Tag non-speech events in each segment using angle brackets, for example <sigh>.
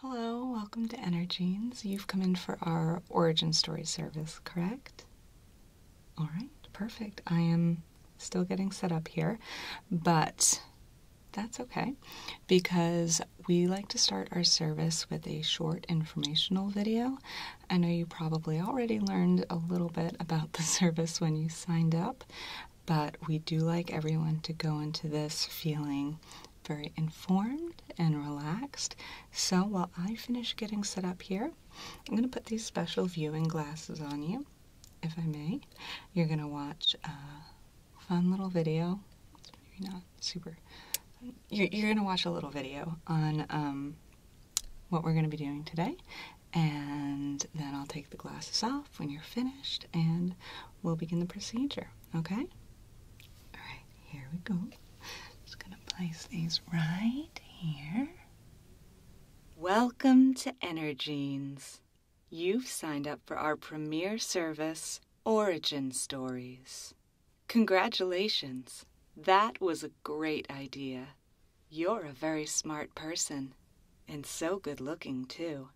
Hello, welcome to Energenes. You've come in for our origin story service, correct? All right, perfect. I am still getting set up here, but that's okay because we like to start our service with a short informational video. I know you probably already learned a little bit about the <laughs> service when you signed up, but we do like everyone to go into this feeling very informed and relaxed. So while I finish getting set up here, I'm going to put these special viewing glasses on you, if I may. You're going to watch a fun little video. maybe not super. You're, going to watch a little video on um, what we're going to be doing today. And then I'll take the glasses off when you're finished and we'll begin the procedure, okay? All right, here we go. Just going to place these right here. Welcome to Energenes. You've signed up for our premier service, Origin Stories. Congratulations. That was a great idea. You're a very smart person, and so good looking, too.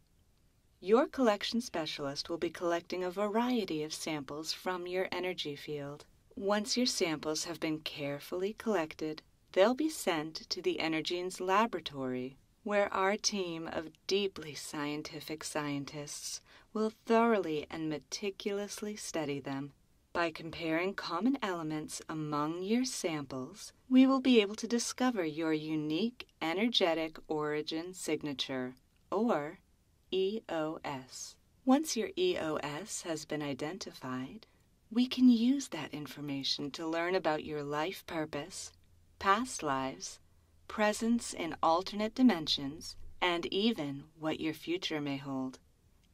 Your collection specialist will be collecting a variety of samples from your energy field. Once your samples have been carefully collected, They'll be sent to the Energene's laboratory, where our team of deeply scientific scientists will thoroughly and meticulously study them. By comparing common elements among your samples, we will be able to discover your unique energetic origin signature, or EOS. Once your EOS has been identified, we can use that information to learn about your life purpose, past lives, presence in alternate dimensions, and even what your future may hold.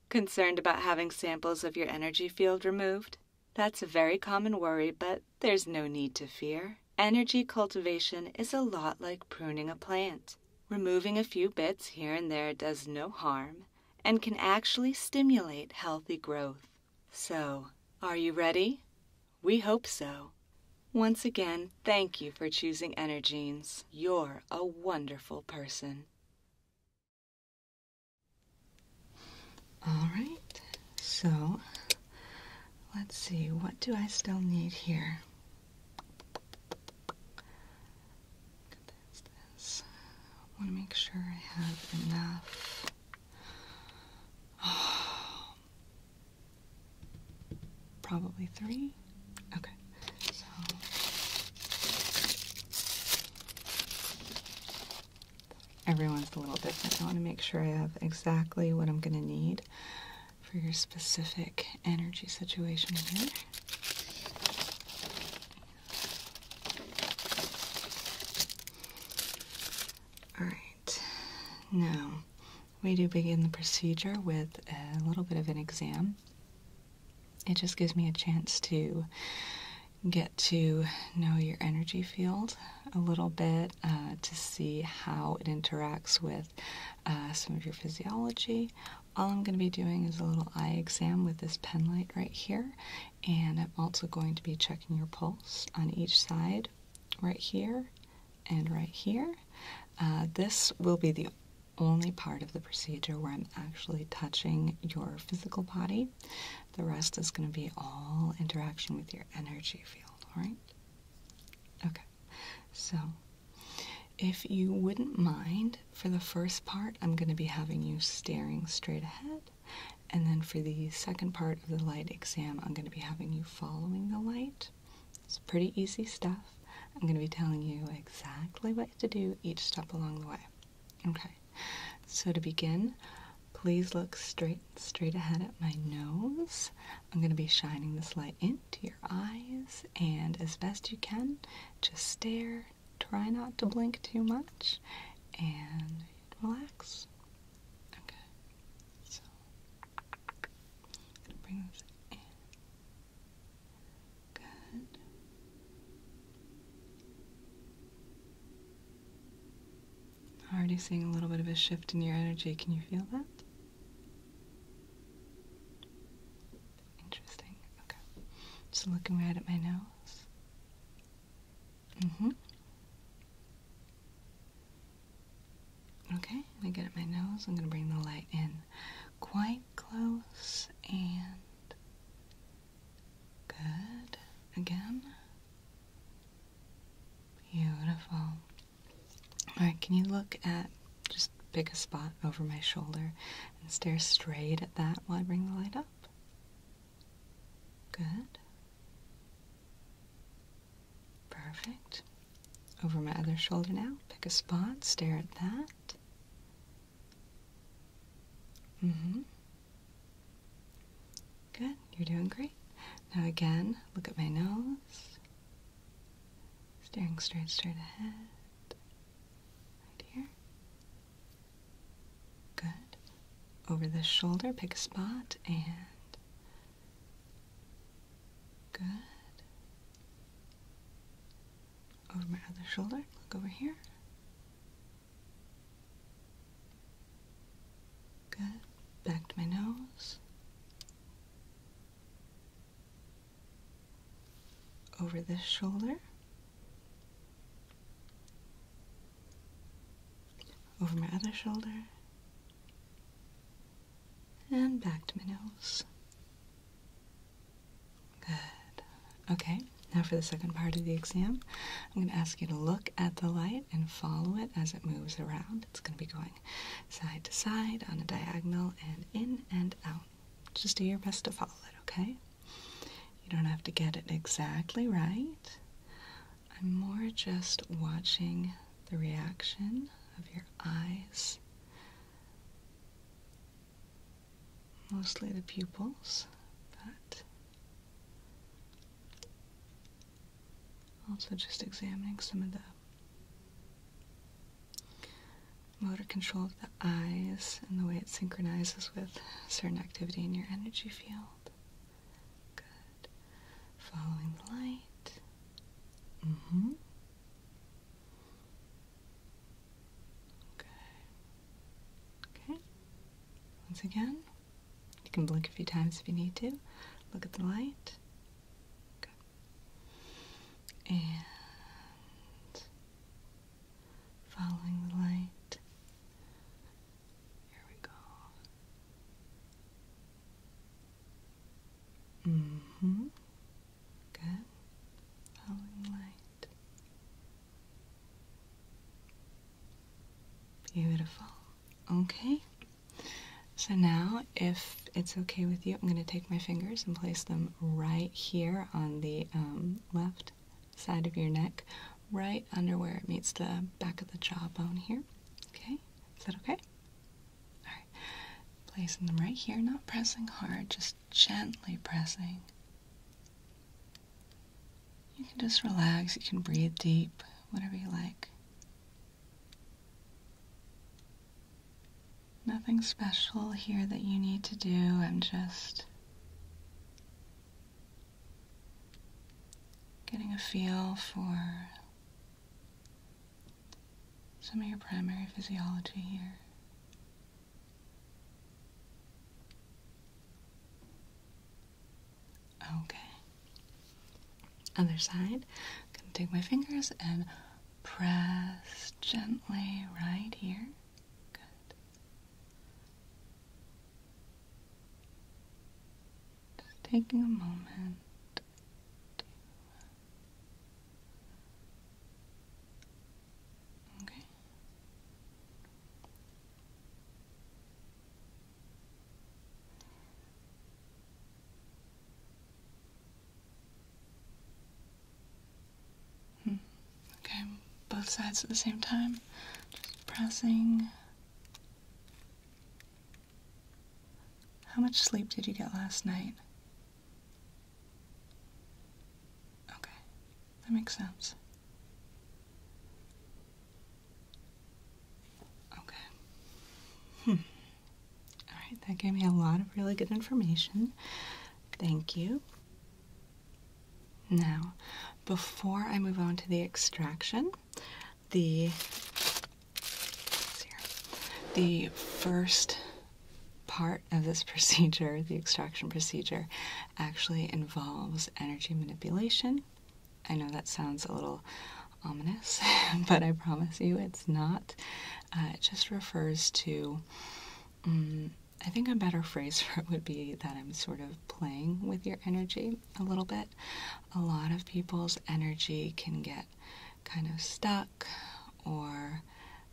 Concerned about having samples of your energy field removed? That's a very common worry, but there's no need to fear. Energy cultivation is a lot like pruning a plant. Removing a few bits here and there does no harm and can actually stimulate healthy growth. So, are you ready? We hope so. Once again, thank you for choosing Energenes. You're a wonderful person. All right, so let's see, what do I still need here? I want to make sure I have enough. <sighs> probably three. Okay. So everyone's a little different. I want to make sure I have exactly what I'm going to need for your specific energy situation here. All right, now we do begin the procedure with a little bit of an exam. It just gives me a chance to get to know your energy field a little bit uh, to see how it interacts with uh, some of your physiology. All I'm going to be doing is a little eye exam with this pen light right here. And I'm also going to be checking your pulse on each side, right here and right here. Uh, this will be the only part of the procedure where I'm actually touching your physical body. The rest is going to be all interaction with your energy field, alright? Okay, so if you wouldn't mind, for the first part, I'm going to be having you staring straight ahead. And then for the second part of the light exam, I'm going to be having you following the light. It's pretty easy stuff. I'm going to be telling you exactly what to do each step along the way. Okay, so to begin, please look straight, straight ahead at my nose. I'm going to be shining this light into your eyes, and as best you can, just stare, Try not to blink too much and relax. Okay, so I'm gonna bring this in. Good. Already seeing a little bit of a shift in your energy. Can you feel that? Interesting. Okay. Just looking right at my nose. Mm-hmm. Okay, I'm gonna get at my nose. I'm gonna bring the light in quite close and good. Again. Beautiful. Alright, can you look at just pick a spot over my shoulder and stare straight at that while I bring the light up? Good. Perfect. Over my other shoulder now. Pick a spot, stare at that. Mm-hmm. Good, you're doing great. Now again, look at my nose. Staring straight, straight ahead. Right here. Good. Over this shoulder, pick a spot and. Good. Over my other shoulder, look over here. Good. Back to my nose. Over this shoulder over my other shoulder and back to my nose. Good. Okay, now for the second part of the exam, I'm going to ask you to look at the light and follow it as it moves around. It's going to be going side to side, on a diagonal, and in and out. Just do your best to follow it, okay? You don't have to get it exactly right. I'm more just watching the reaction of your eyes, mostly the pupils, but also just examining some of the motor control of the eyes and the way it synchronizes with certain activity in your energy field. Good. Following the light. Mm hmm. Good. Okay. Once again, you can blink a few times if you need to. Look at the light. Good. And following the light. Here we go. hmm Good. Following light. Beautiful. Okay. So now, if it's okay with you, I'm going to take my fingers and place them right here on the um, left side of your neck, right under where it meets the back of the jawbone here. Okay, is that okay? All right, placing them right here, not pressing hard, just gently pressing. You can just relax, you can breathe deep, whatever you like. Nothing special here that you need to do. I'm just Getting a feel for some of your primary physiology here. Okay. Other side. I'm gonna take my fingers and press gently right here. Good. Just taking a moment okay. Hmm. Okay, both sides at the same time. Just pressing how much sleep did you get last night? Okay, that makes sense. Okay. Hmm. All right, that gave me a lot of really good information. Thank you. Now, before I move on to the extraction, the the first part of this <laughs> procedure, the extraction procedure, actually involves energy manipulation. I know that sounds a little ominous, <laughs> but I promise you it's not. Uh, it just refers to, mm, I think a better phrase <laughs> for it would be that I'm sort of playing with your energy a little bit a lot of people's energy can get kind of stuck or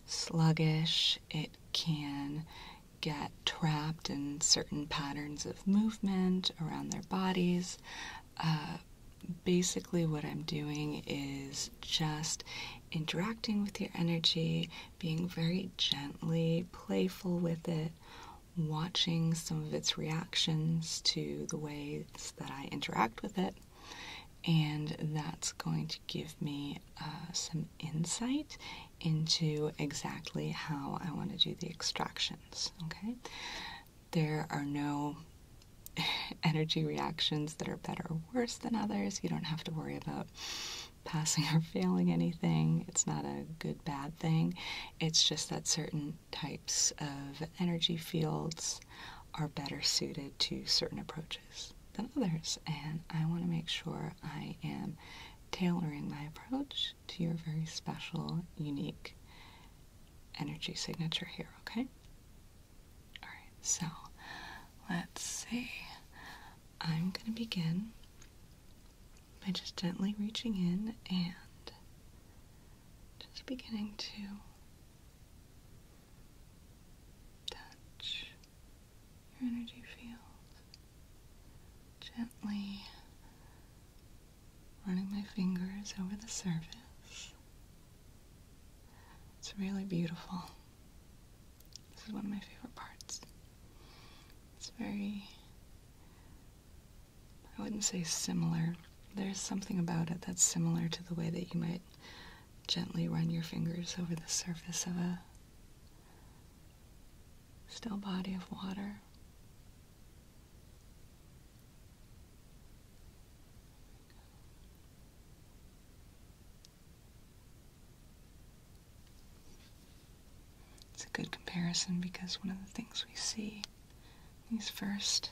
sluggish. It can get trapped in certain patterns of movement around their bodies. Uh, basically, what I'm doing is just interacting with your energy, being very gently playful with it, watching some of its reactions to the ways that I interact with it. And that's going to give me uh, some insight into exactly how I want to do the extractions. Okay, there are no <laughs> energy reactions that are better or worse than others. You don't have to worry about passing <laughs> or failing anything. It's not a good bad thing. It's just that certain types of energy fields are better suited to certain approaches than others. And I want to make sure I am tailoring my approach to your very special, unique energy signature here, okay? All right, so let's see. I'm going to begin by just gently reaching in and just beginning to touch your energy field, gently running my fingers over the surface. It's really beautiful. This is one of my favorite parts. It's very I wouldn't say similar. There's something about it that's similar to the way that you might gently run your fingers over the surface of a still body of water. It's a good comparison because one of the things we see these first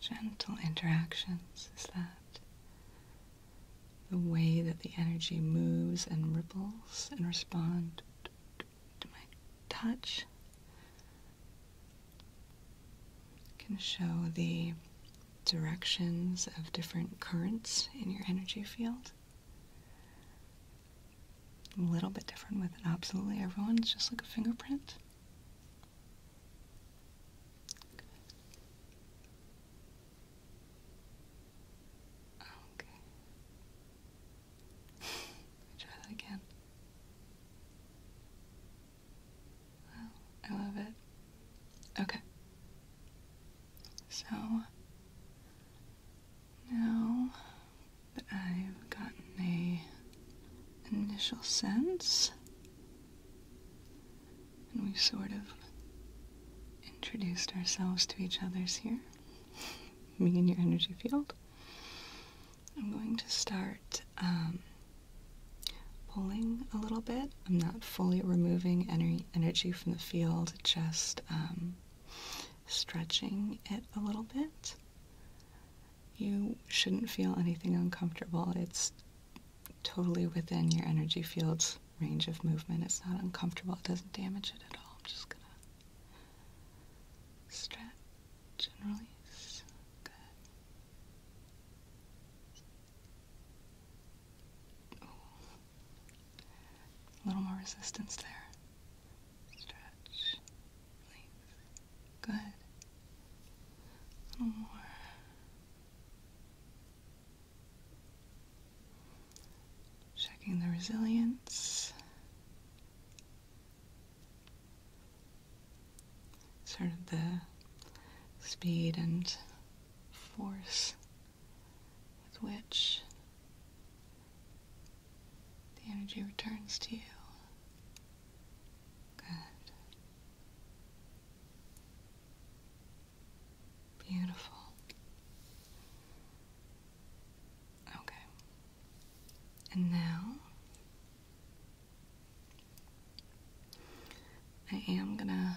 gentle interactions is that the way that the energy moves and ripples and responds to my touch can show the directions of different currents in your energy field a little bit different with it. Absolutely everyone's just like a fingerprint. Okay. <laughs> try that again. I love it. Okay. So now that I've gotten a initial sense and we've sort of introduced ourselves to each other's here, <laughs> me and your energy field, I'm going to start um, pulling a little bit. I'm not fully removing ener energy from the field, just um, stretching it a little bit. You shouldn't feel anything uncomfortable. It's totally within your energy field's range of movement. It's not uncomfortable, it doesn't damage it at all. I'm just gonna stretch and release. A little more resistance there. Stretch. Release. Good. A little more. Checking the resilience. Sort of the speed and force with which the energy returns to you. Good. Beautiful. Okay. And now I am going to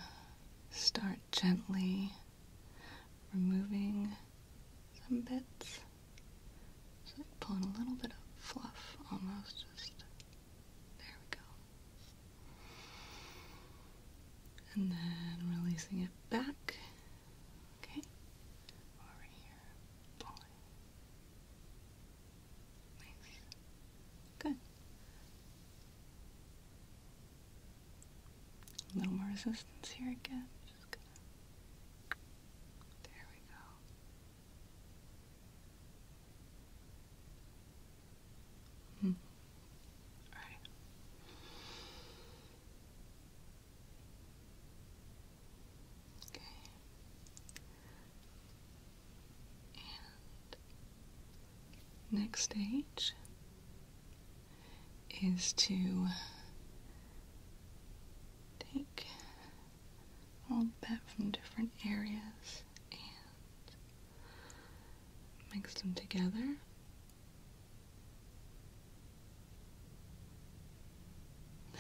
start gently removing some bits. like pulling a little bit of fluff almost, just there we go. And then releasing it back. Okay. Over here. Pulling. Nice. Good. more resistance here again. There we go. Hmm. All right. Okay. And next stage is to take all that from different areas and mix them together. <laughs>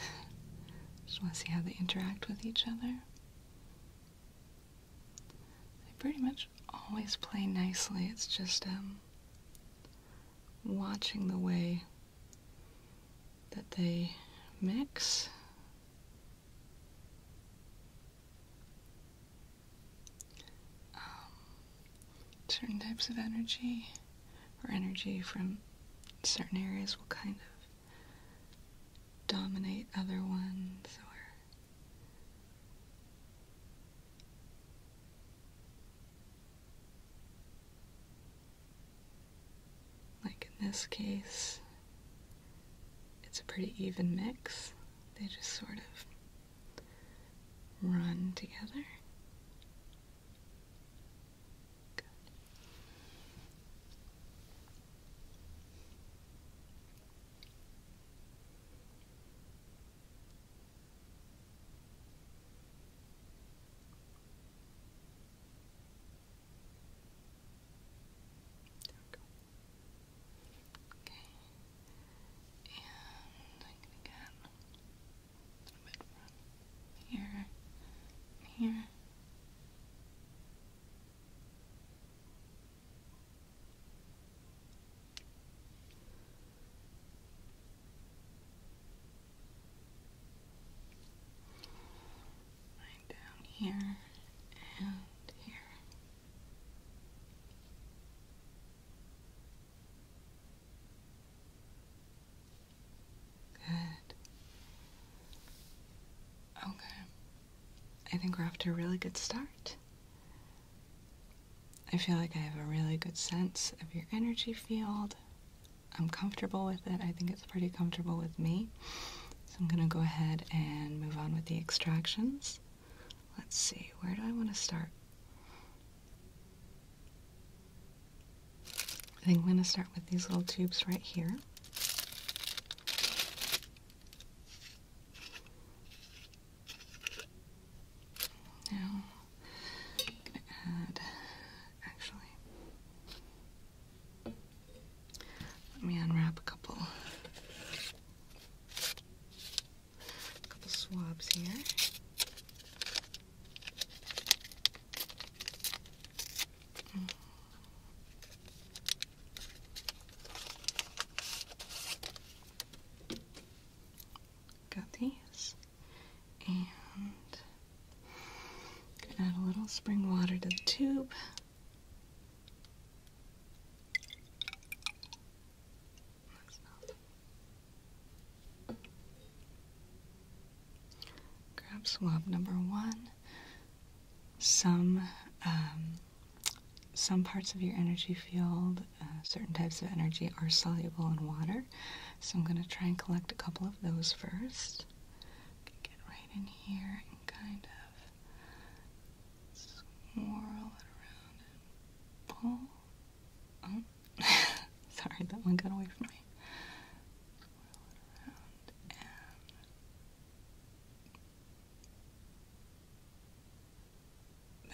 Just want to see how they interact with each other. They pretty much always play nicely. It's just um watching the way that they mix. Um, certain types of energy or energy from certain areas will kind of dominate other ones or like in this case, it's a pretty even mix. They just sort of run together. There we Okay. And I'm gonna get here here down here and here. Good. Okay. I think we're off to a really good start. I feel like I have a really good sense of your energy field. I'm comfortable with it. I think it's pretty comfortable with me. So I'm going to go ahead and move on with the extractions. Let's see, where do I want to start? I think I'm going to start with these little tubes right here. Now, going to add, actually, let me unwrap a couple, a couple swabs here. Got these gonna add a little spring water to the tube. Grab swab number one. Some um, some parts of your energy field, uh, certain types of energy, are soluble in water. So I'm going to try and collect a couple of those first just get right in here and kind of swirl it around and pull. Oh. <laughs> Sorry, that one got away from me.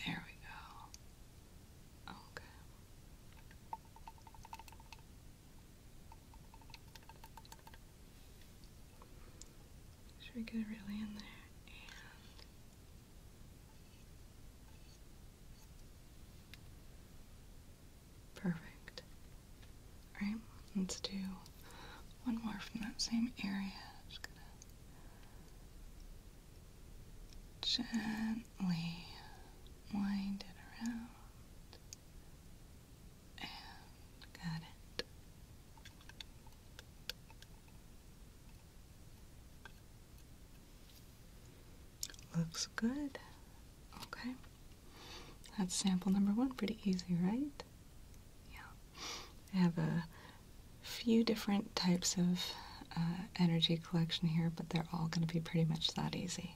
there we go. Okay. Should we get really in there? perfect. All right, let's do one more from that same area. gently wind it around. Looks good. Okay. That's sample number one. Pretty easy, right? Yeah. I have a few different types of uh, energy collection here, but they're all going to be pretty much that easy.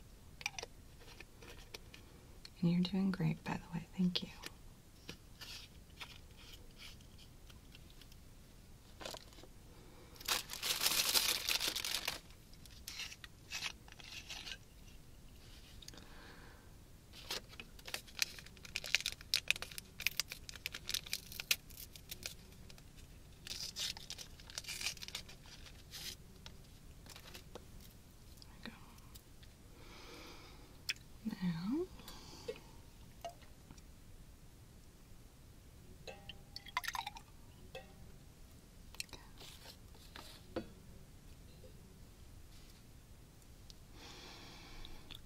And you're doing great, by the way. Thank you. Now.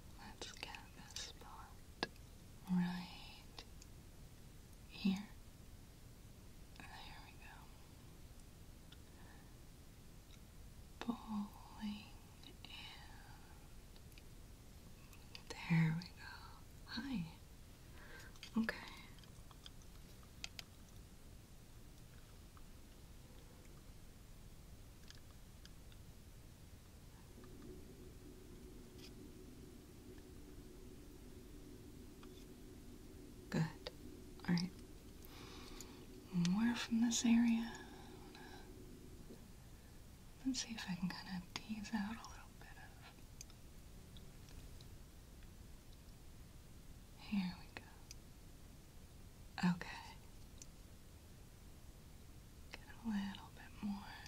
Let's get this spot right here. There we go. Bowling in. There we go. Hi. Okay. Good. Alright. We're from this area. Let's see if I can kind of tease out a little bit of. Here we go. Okay. Get a little bit more.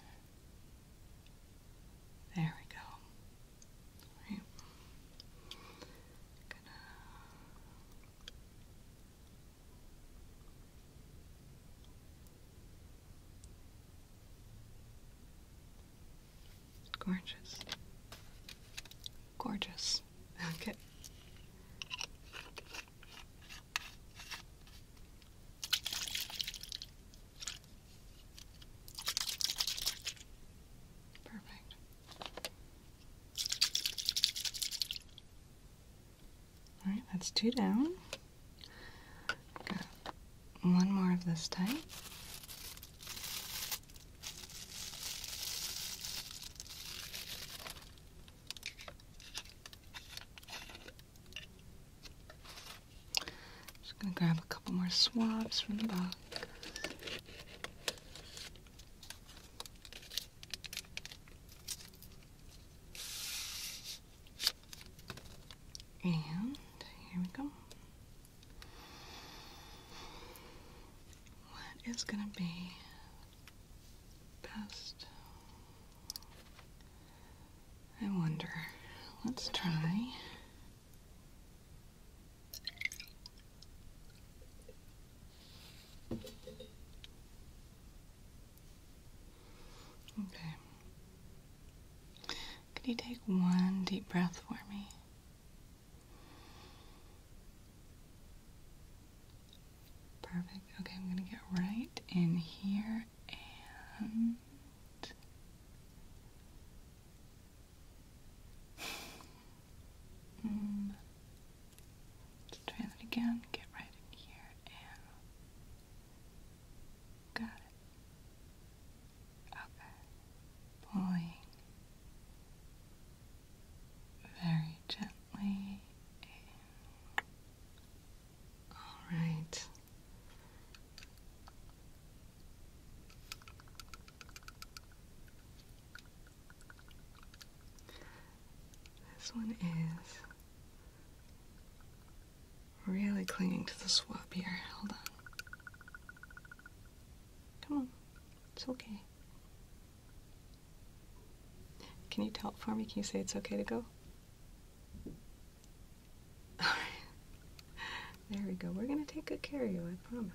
There we go. All right gorgeous gorgeous <laughs> okay perfect all right, that's two down. one more of this type. Just gonna grab a couple more swabs from the box. And here we go. What is going to be best? I wonder. Let's try Okay. Could you take one deep breath for me? Perfect. Okay, I'm going to get right in here and Hmm. try that again. Get right in here and got it. Okay. Pulling very gently. All right. This one is really clinging to the swab here. Hold on. Come on. It's okay. Can you tell it for me? Can you say it's okay to go? <laughs> Alright. There we go. We're going to take good care of you, I promise.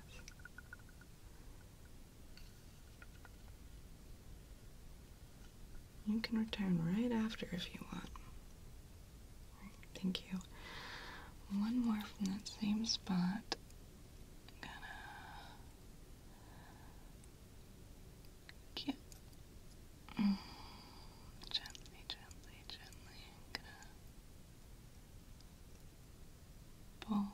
You can return right after if you want. thank you. One more from that same spot. gonna mm, gently, gently, gently. gonna pull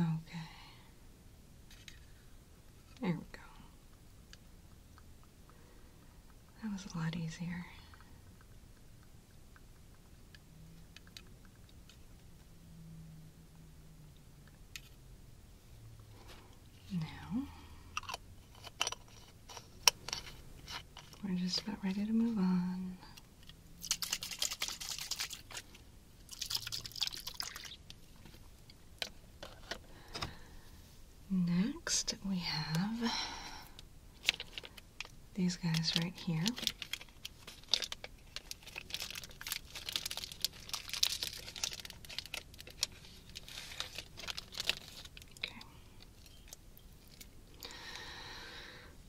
Okay. There we go. That was a lot easier. Now, we're just about ready to move on. Next, we have these guys right here. Okay.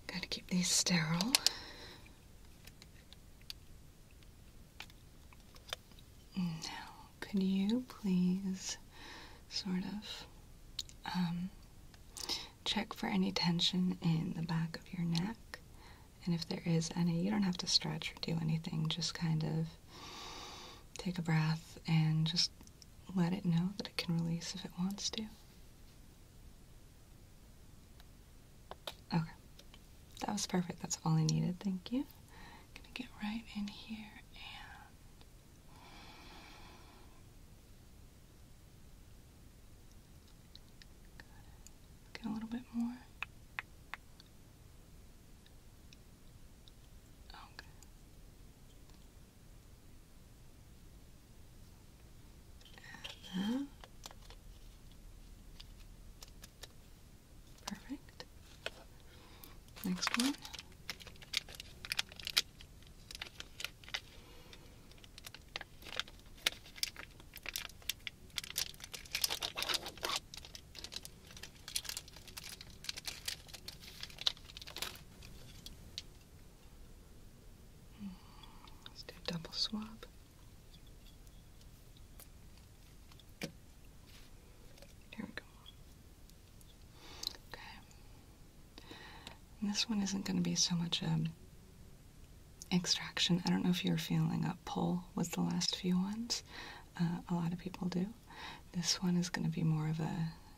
Gotta keep these sterile. Now, could you please sort of um, check for any tension in the back of your neck? And if there is any, you don't have to stretch or do anything, just kind of take a breath and just let it know that it can release if it wants to. Okay. That was perfect. That's all I needed. Thank you. gonna get right in here and Get a little bit more. Okay perfect. Next one. Let's do double swab. Here we go. Okay. this one isn't going to be so much a extraction. I don't know if you're feeling a pull with the last few ones. Uh, a lot of people do. This one is going to be more of a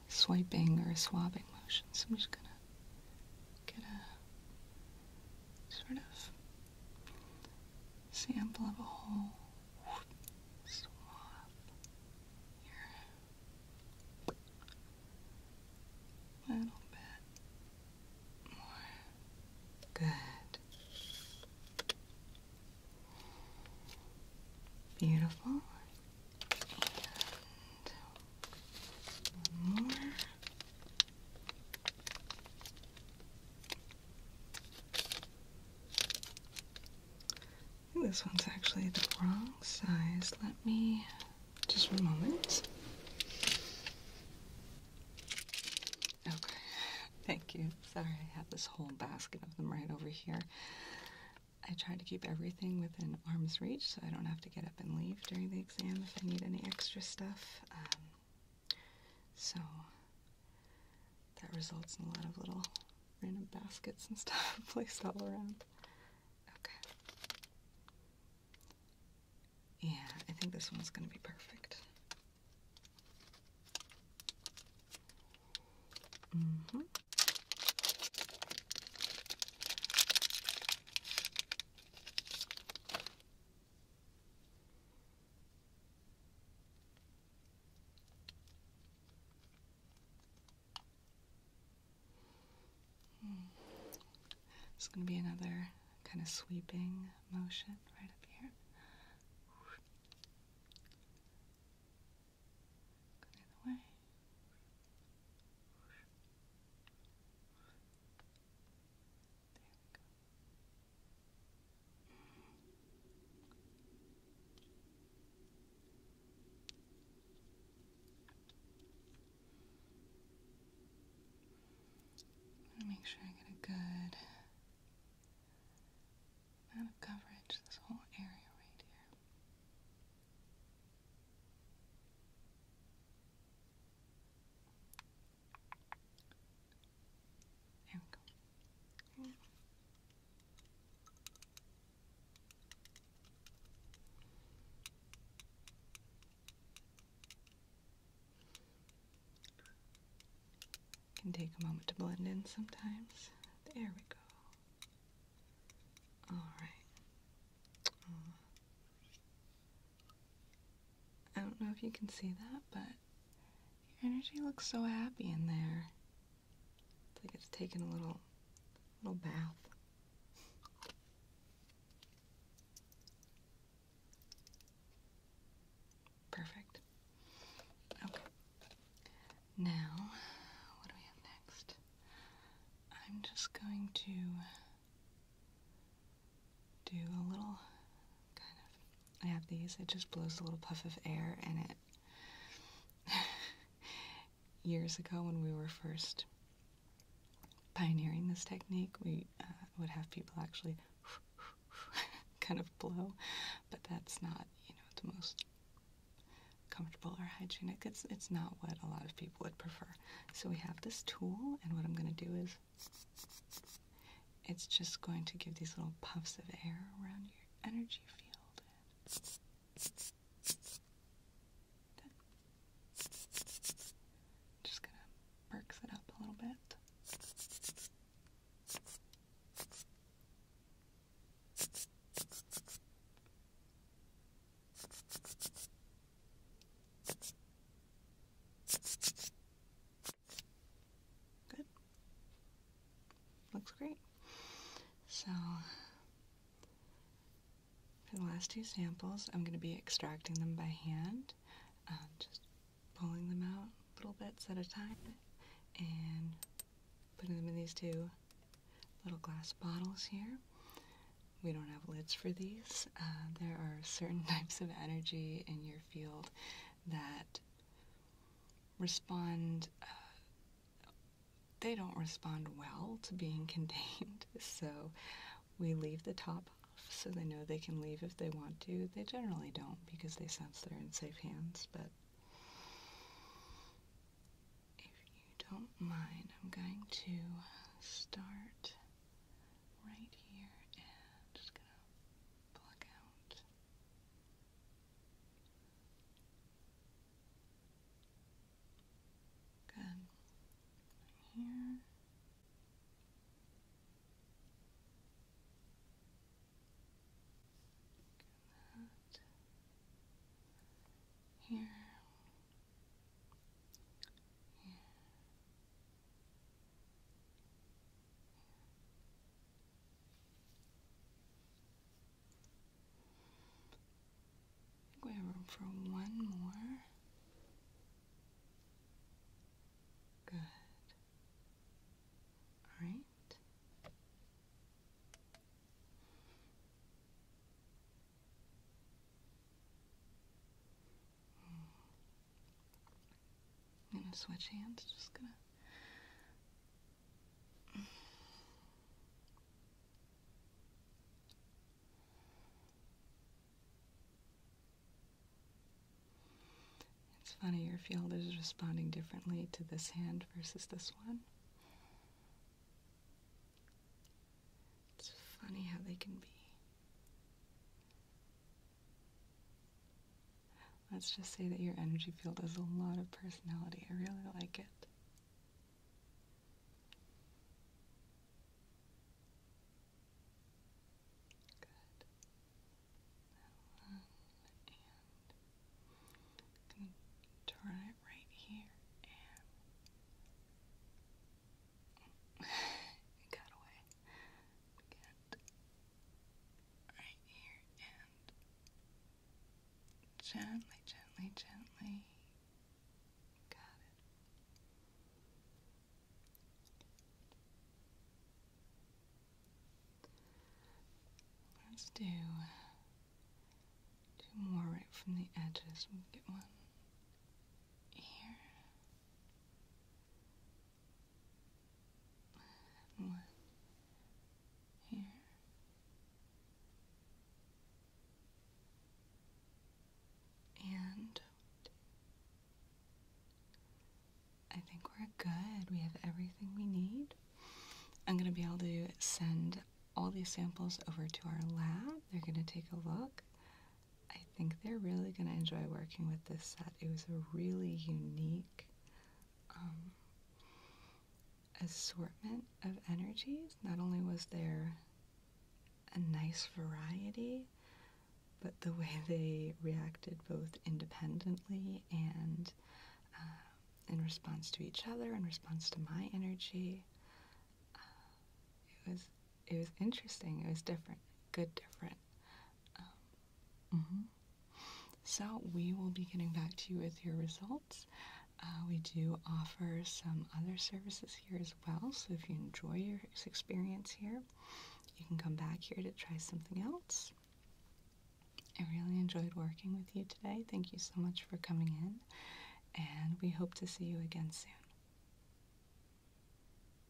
swiping or a swabbing motion. So I'm just going to get a sort of sample of a whole swath here. A little bit more. Good. Beautiful. This one's actually the wrong size. Let me just for a moment. Okay, thank you. Sorry, I have this whole basket of them right over here. I try to keep everything within arm's reach so I don't have to get and leave during the exam if I need any extra stuff. Um, so that results in a lot of little random baskets and <laughs> stuff placed all around. Okay. Yeah, I think this one's going to be perfect. Mm-hmm. Mm. It's going to be another kind of sweeping motion right up here. I'm to make sure I get a good amount of coverage this whole area right here. Can take a moment to blend in sometimes. There we go. All right. I don't know if you can see that, but your energy looks so happy in there. like it's taking a little little bath. Perfect. Okay. Now, what do we have next? I'm just going to do a little kind of. I have these, it just blows a little puff of air, and it. <laughs> years ago, when we were first pioneering this technique, we uh, would have people actually <laughs> kind of blow, but that's not, you know, the most comfortable or hygienic. It's it's not what a lot of people would prefer. So we have this tool, and what I'm going to do is it's just going to give these little puffs of air around your energy field. Just going to perks it up a little bit. Good. Looks great. So, for the last two samples, I'm going to be extracting them by hand, uh, just pulling them out little bits at a time and putting them in these two little glass bottles here we don't have lids for these. Uh, there are certain <laughs> types of energy in your field that respond, uh, they don't respond well to being <laughs> contained. So we leave the top off so they know they can leave if they want to. They generally don't because they sense they're in safe hands, but if you don't mind, I'm going to start right here just gonna pluck out good right here Good that. Here, we have room for one more. Good. All right. I'm gonna switch hands, just gonna. It's funny, your field is responding differently to this hand versus this one. It's funny how they can be. Let's just say that your energy field has a lot of personality. I really like it. Good. That one. And going to turn it right here <sighs> got away. right here and gently, gently, gently. Got it. Let's do two more right from the edges. we get one here one here. And I think we're good. We have everything we need. I'm going to be able to send all these samples over to our lab. They're going to take a look. I think they're really going to enjoy working with this set. It was a really unique um, assortment of energies. Not only was there a nice variety, but the <laughs> way they reacted both independently and uh, in response to each other, in response to my energy, uh, it was it was interesting. It was different. Good different. Um, mm-hmm. So we will be getting back to you with your results. Uh, we do offer some other services here as well. So if you enjoy your experience here, you can come back here to try something else. I really enjoyed working with you today. Thank you so much for coming in, and we hope to see you again soon.